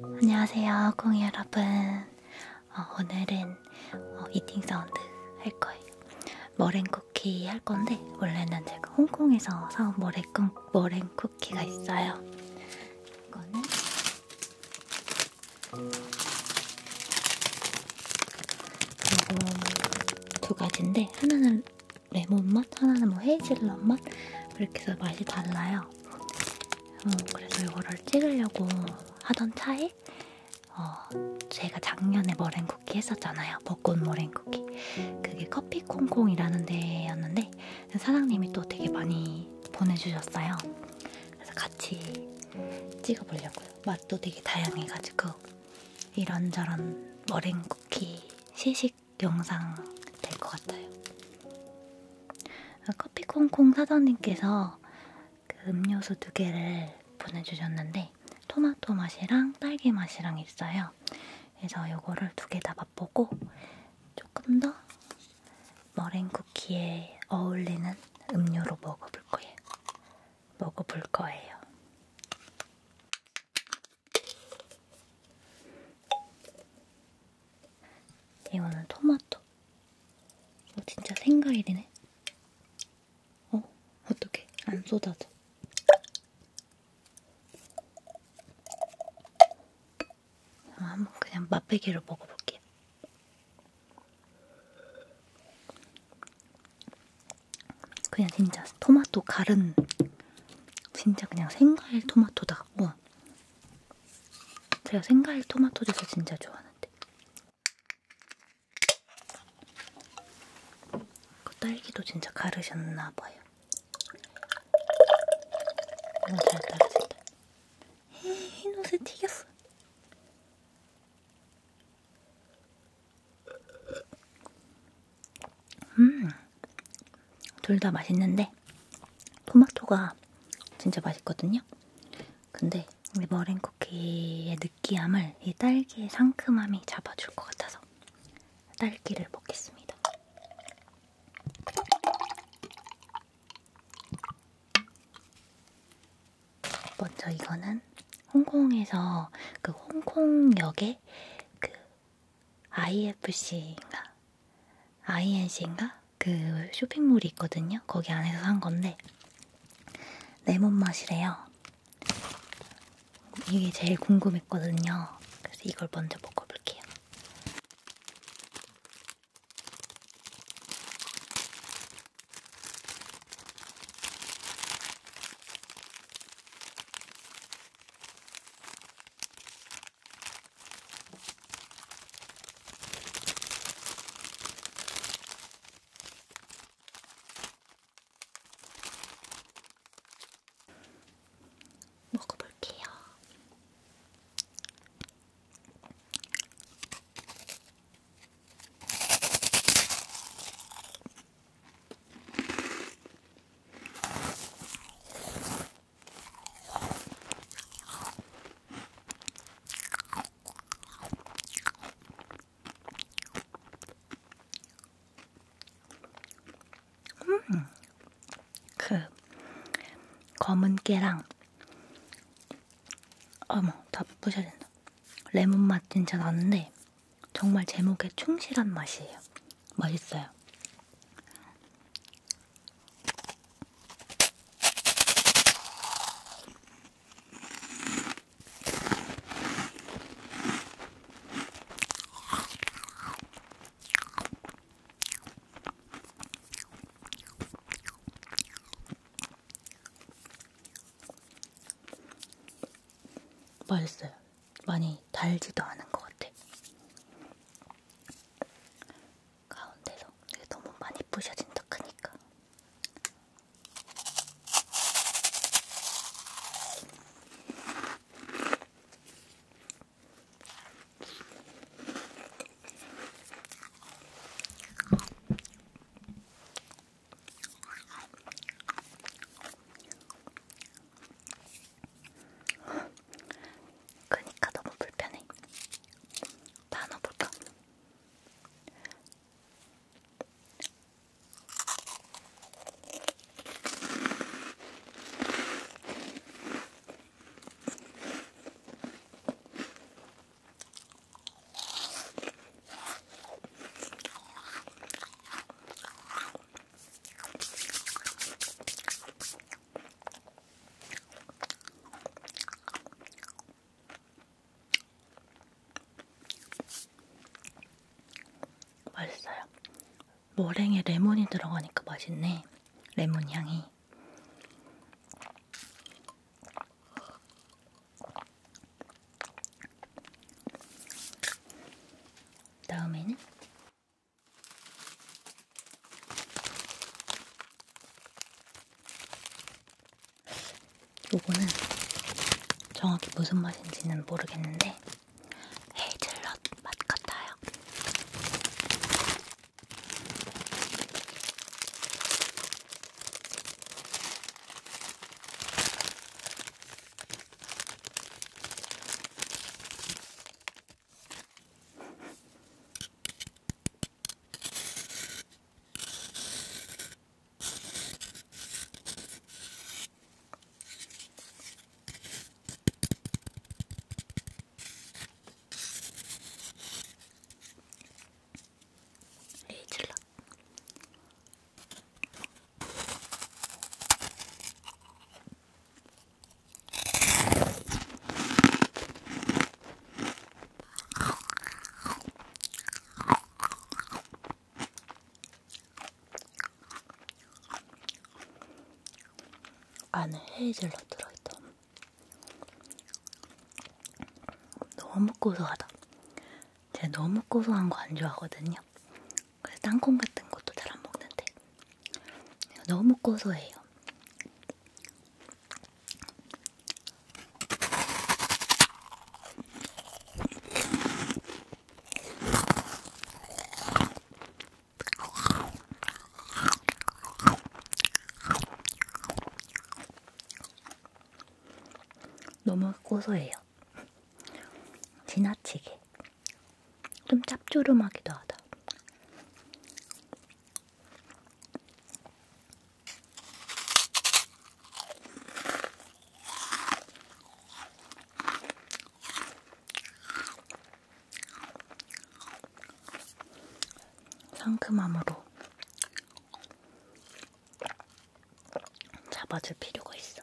안녕하세요, 콩이 여러분. 어, 오늘은 어, 이팅 사운드 할 거예요. 머랭 쿠키 할 건데 원래는 제가 홍콩에서 사온 머랭, 머랭 쿠키가 있어요. 이거는 요거 두 가지인데 하나는 레몬 맛, 하나는 뭐 헤이즐넛 맛. 그렇게 해서 맛이 달라요. 음, 그래서 이거를 찍으려고 하던 차에 어, 제가 작년에 머랭쿠키 했었잖아요. 벚꽃 머랭쿠키. 그게 커피콩콩이라는 데였는데 사장님이 또 되게 많이 보내주셨어요. 그래서 같이 찍어보려고요. 맛도 되게 다양해가지고 이런저런 머랭쿠키 시식 영상 될 것 같아요. 커피콩콩 사장님께서 그 음료수 두 개를 보내주셨는데 토마토 맛이랑 딸기 맛이랑 있어요. 그래서 요거를 두 개 다 맛보고 조금 더 머랭 쿠키에 어울리는 음료로 먹어볼 거예요. 먹어볼 거예요. 이거는 토마토. 어, 진짜 생과일이네. 어? 어떻게? 안 쏟아져. 어, 한번 그냥 맛배기로 먹어볼게요. 그냥 진짜 토마토 갈은 진짜 그냥 생과일 토마토다. 와, 제가 생과일 토마토 젓을 진짜 좋아하는데 그 딸기도 진짜 가르셨나 봐요. 너무 음, 잘 따라진다. 흰옷에 튀겼어. 음, 둘다 맛있는데 토마토가 진짜 맛있거든요. 근데 이 머랭 쿠키의 느끼함을 이 딸기의 상큼함이 잡아줄 것 같아서 딸기를 먹겠습니다. 먼저 이거는 홍콩에서 그 홍콩역에 그 IFC인가 INC인가? 그 쇼핑몰이 있거든요. 거기 안에서 산 건데 레몬 맛이래요. 이게 제일 궁금했거든요. 그래서 이걸 먼저 먹어볼게요. 먹어볼게요. 음, 그 검은 깨랑 어머 다 부셔야 된다. 레몬 맛 진짜 나는데 정말 제목에 충실한 맛이에요. 맛있어요. 맛있어요. 많이 달지도 않은 것 같아. 가운데서 이게 너무 많이 부셔진다 크니까 그니까 너무 불편해. 단어 볼까? 맛있어요. 머랭에 레몬이 들어가니까 맛있네. 레몬 향이. 다음에는 요거는 정확히 무슨 맛인지는 모르겠는데 헤이즐넛 맛 같아요. 레이즐라 안에 헤이즐넛 들어있던 너무 고소하다 제가 너무 고소한 거 안 좋아하거든요 그래서 땅콩 같은 것도 잘 안 먹는데 너무 고소해요. 너무 고소해요. 지나치게 좀 짭조름하기도 하다. 상큼함으로 잡아줄 필요가 있어.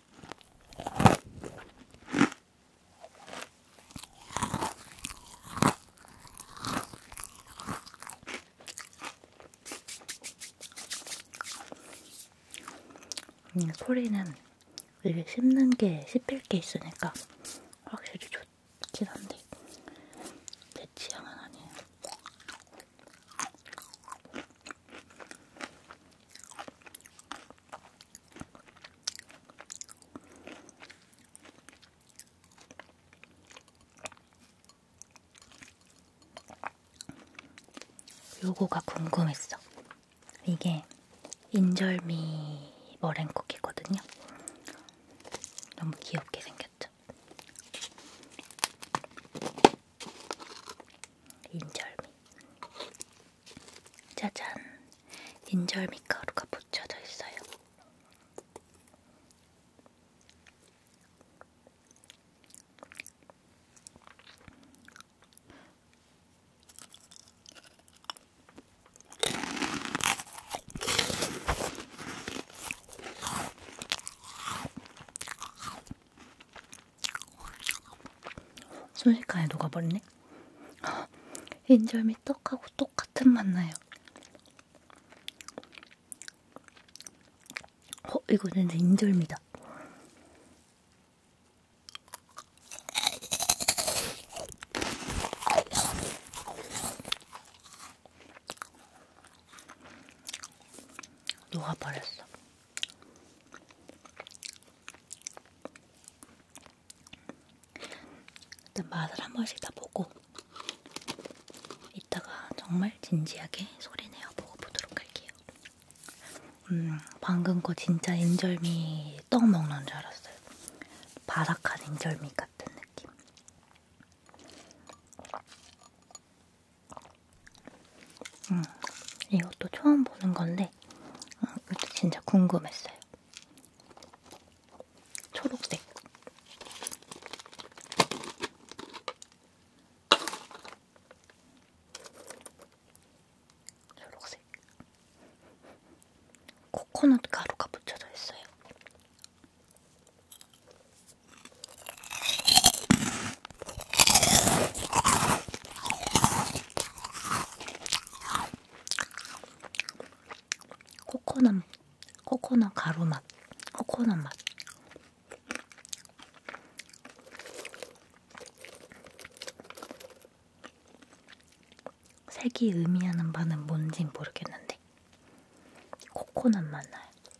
음, 소리는 이게 씹는 게 씹힐 게 있으니까 확실히 좋긴 한데 내 취향은 아니에요. 요거가 궁금했어. 이게 인절미 머랭쿠키거든요. 너무 귀엽게 생겼죠? 인절미 짜잔 인절미 가루가 묻혀져 있어요. 순식간에 녹아버리네. 인절미 떡하고 똑같은 맛 나요. 어, 이거 진짜 인절미다. 녹아버렸어. 일단 맛을 한 번씩 다 보고 이따가 정말 진지하게 소리내어 보고 보도록 할게요. 음, 방금 거 진짜 인절미 떡 먹는 줄 알았어요. 바삭한 인절미 같은 느낌. 음, 이것도 처음 보는 건데 음, 어, 이것도 진짜 궁금했어요. 초록색. 초록색. 코코넛 가루가 붙여져 있어요. 코코넛, 코코넛 가루 맛, 코코넛 맛. 색이 의미하는 바는 뭔진 모르겠는데 코코넛 맛 나요.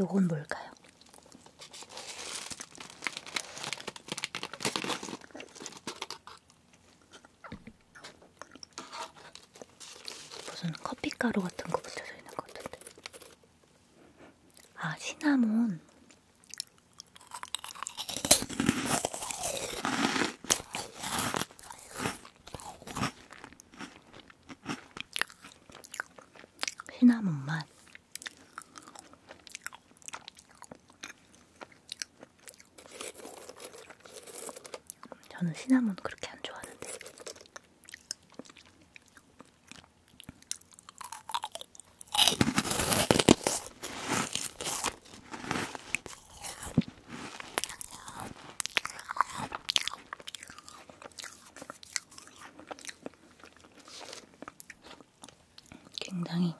요건 뭘까요? 무슨 커피가루 같은 거 붙여져 있는 것 같은데. 아, 시나몬. 시나몬 맛. 저는 시나몬 그렇게 안 좋아하는데 굉장히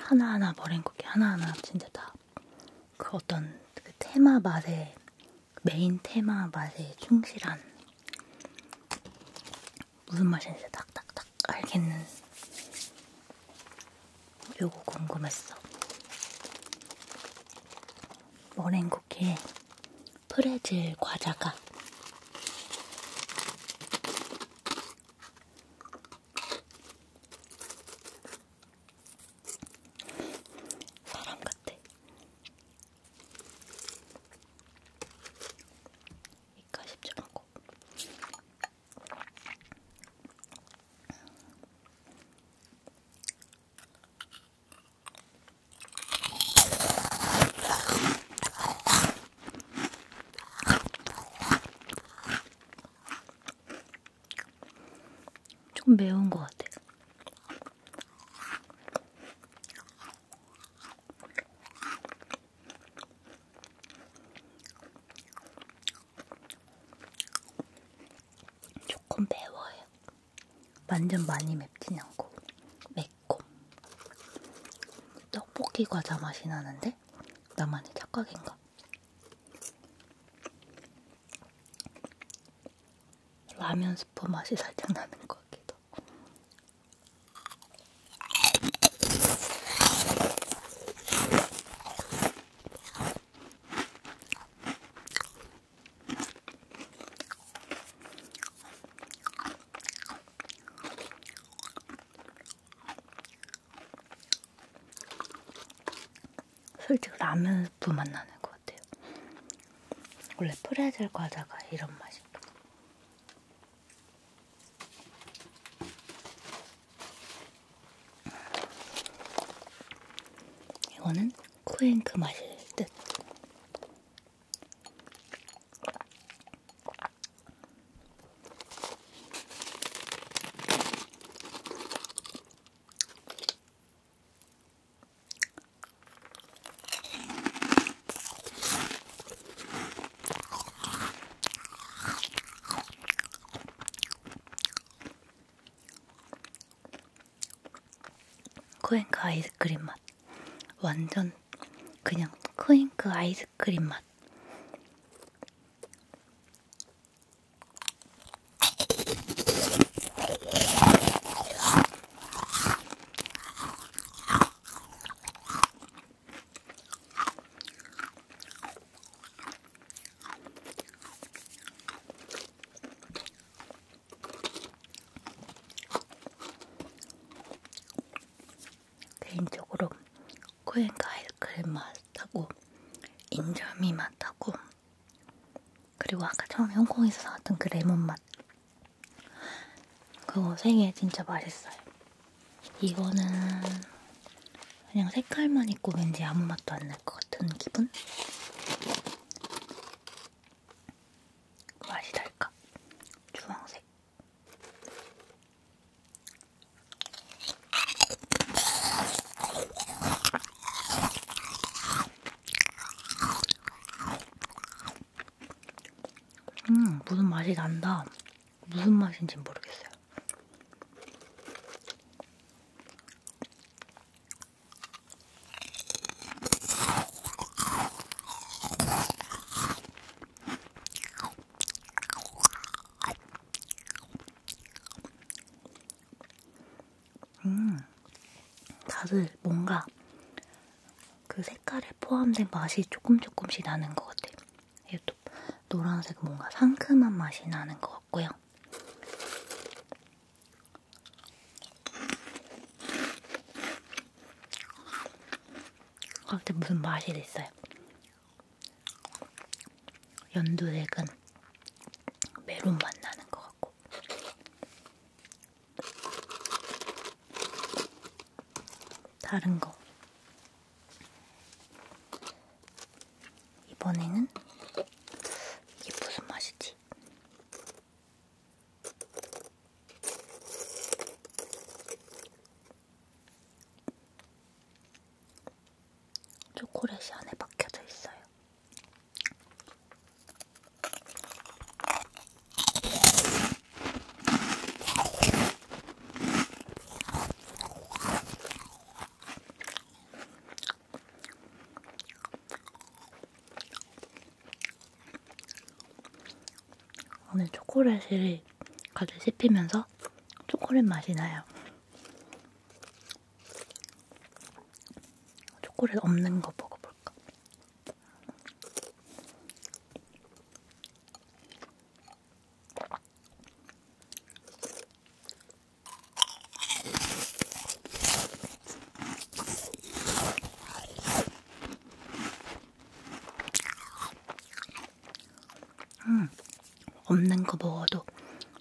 하나하나 머랭쿠키 하나하나 진짜 다 그 어떤 그 테마 맛에 메인 테마 맛에 충실한 무슨 맛인지 딱딱딱 알겠는 요거 궁금했어 머랭쿠키에 프레즐 과자가 사람 같아 이까 쉽지 않고 좀 매운 것 같아요. 조금 매워요. 완전 많이 맵진 않고 매콤. 떡볶이 과자 맛이 나는데 나만의 착각인가? 라면 스프 맛이 살짝 나는 것 같기도 맛있다. 솔직히 라면 스프 맛 나는 것 같아요. 원래 프레젤 과자가 이런 맛이에요. 이거는 쿠앤크 맛일 듯. 코잉크 아이스크림 맛 완전 그냥 코잉크 아이스크림 맛 개인적으로 코엔가일클 맛하고 인절미 맛하고 그리고 아까 처음 홍콩에서 사왔던 그 레몬 맛 그거 생에 진짜 맛있어요. 이거는 그냥 색깔만 있고 왠지 아무 맛도 안 날 것 같은 기분? 맛이 달까? 주황색. 음, 무슨 맛이 난다. 무슨 맛인지 모르겠어요. 음, 다들 뭔가 그 색깔에 포함된 맛이 조금 조금씩 나는 것 같아요. 이것도 노란색 뭔가 상큼한 맛이 나는 것 같고요. 갑자기 아, 무슨 맛이 됐어요. 연두색은 메론 맛 나는 것 같고 다른 거. 이번에는 이게 무슨 맛이지? 초콜릿이 안에 박혀져 있어요. 오늘 초콜릿이 가득 씹히면서 초콜릿 맛이 나요. 초콜릿 없는 거 먹어볼까? 음, 없는 거 먹어도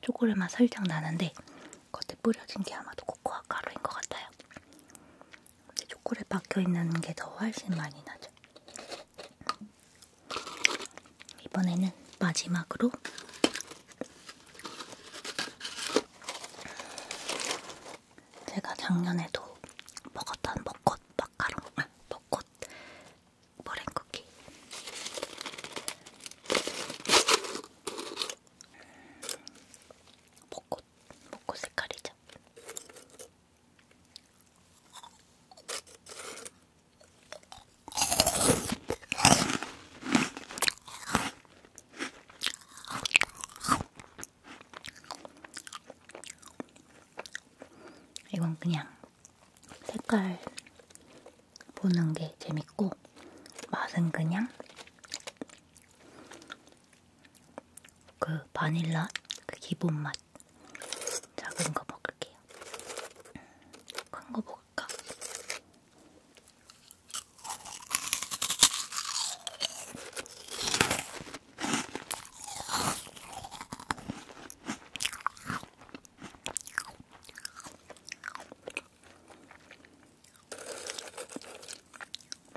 초콜릿 맛 살짝 나는데 겉에 뿌려진 게 아마도 코코아 가루인 것 같아요. 근데 초콜릿 박혀있는 게 더 훨씬 많이 나죠. 이번에는 마지막으로 제가 작년에도 먹었던 먹꽃 마카롱, 아, 먹꽃 머랭쿠키 먹고 벚꽃, 벚꽃 색깔이죠. 이건 그냥 색깔 보는 게 재밌고 맛은 그냥 그 바닐라 그 기본 맛 작은 거 먹을게요. 큰 거 먹을까?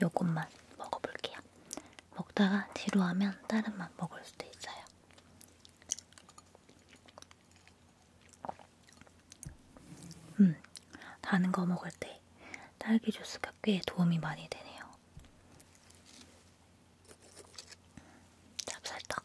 요것만 먹어볼게요. 먹다가 지루하면 다른 맛 먹을 수도 있어요. 음, 다른 거 먹을 때 딸기 주스가 꽤 도움이 많이 되네요. 찹쌀떡.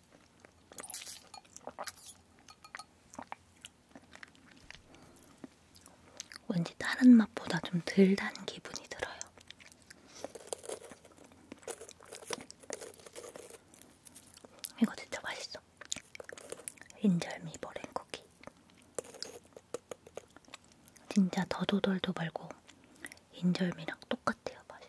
왠지 다른 맛보다 좀 덜 단 기분이 들어요. 이거 진짜 맛있어. 인절미 머랭쿠키. 진짜 더도돌도 말고 인절미랑 똑같아요 맛이.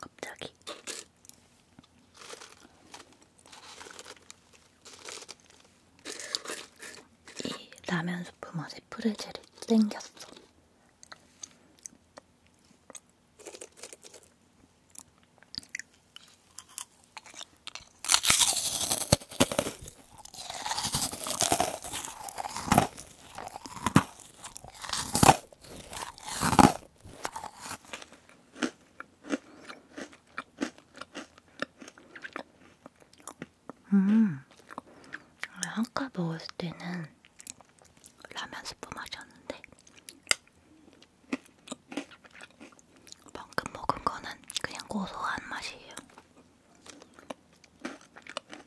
갑자기 이 라면 수프 맛에 프레젤이 땡겼어. 음, 아까 먹었을 때는 라면 스프 맛이었는데 방금 먹은 거는 그냥 고소한 맛이에요.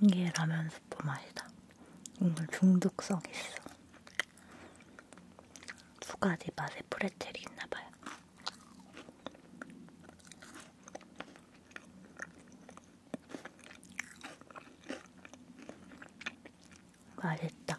이게 라면 스프 맛이다. 오늘 중독성 있어. 두 가지 맛의 프레첼이 있나봐요. 맛있다.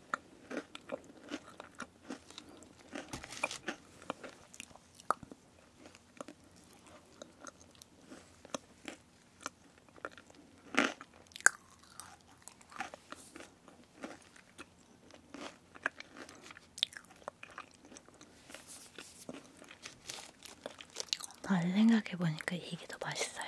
말 생각해보니까 이게 더 맛있어요.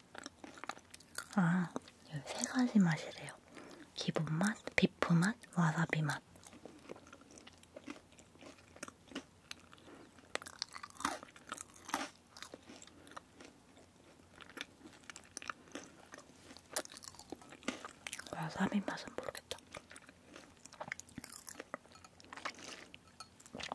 아, 세 가지 맛이래요. 기본 맛, 비프 맛, 와사비 맛. 와사비 맛은 모르겠다.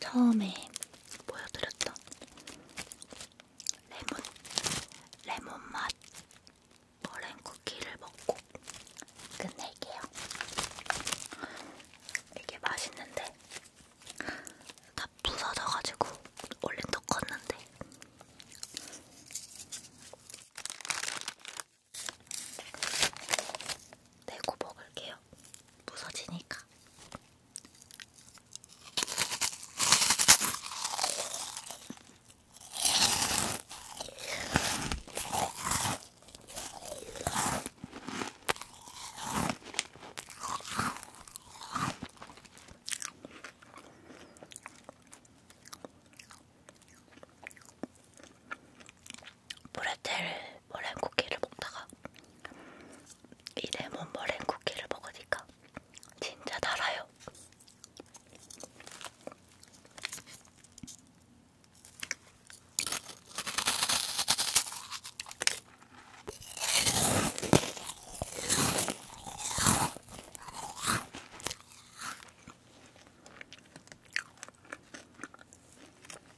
처음에 보여드렸던 레몬, 레몬맛 머랭 쿠키를 먹고 끝낼게요. 이게 맛있는데 다 부서져가지고 얼른 더 컸는데 내고 먹을게요. 할게요. 부서지니까. 브레텔 머랭 쿠키를 먹다가 이 레몬 머랭 쿠키를 먹으니까 진짜 달아요.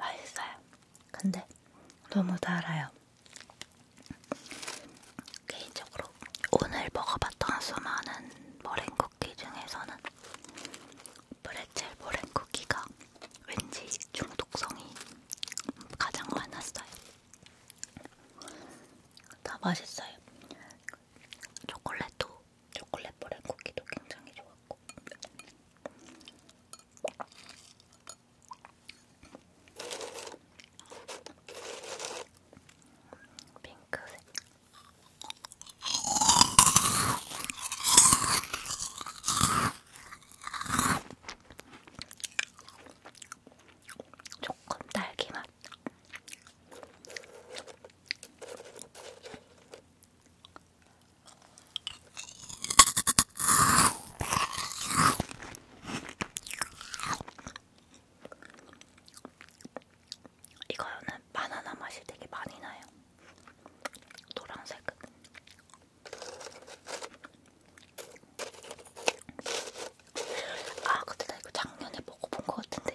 맛있어요. 근데 너무 달아요. 개인적으로 오늘 먹어봤던 수많은 머랭쿠키 중에서는 브레첼 머랭쿠키가 왠지 중독성이 가장 많았어요. 다 맛있어요. 초콜릿도, 초콜릿 머랭쿠키도 굉장히 좋았고 핑크색. 조금 달기맛. 이거는 바나나 맛이 되게 많이 나요. 노란색. 아, 근데 나 이거 작년에 먹어본 것 같은데.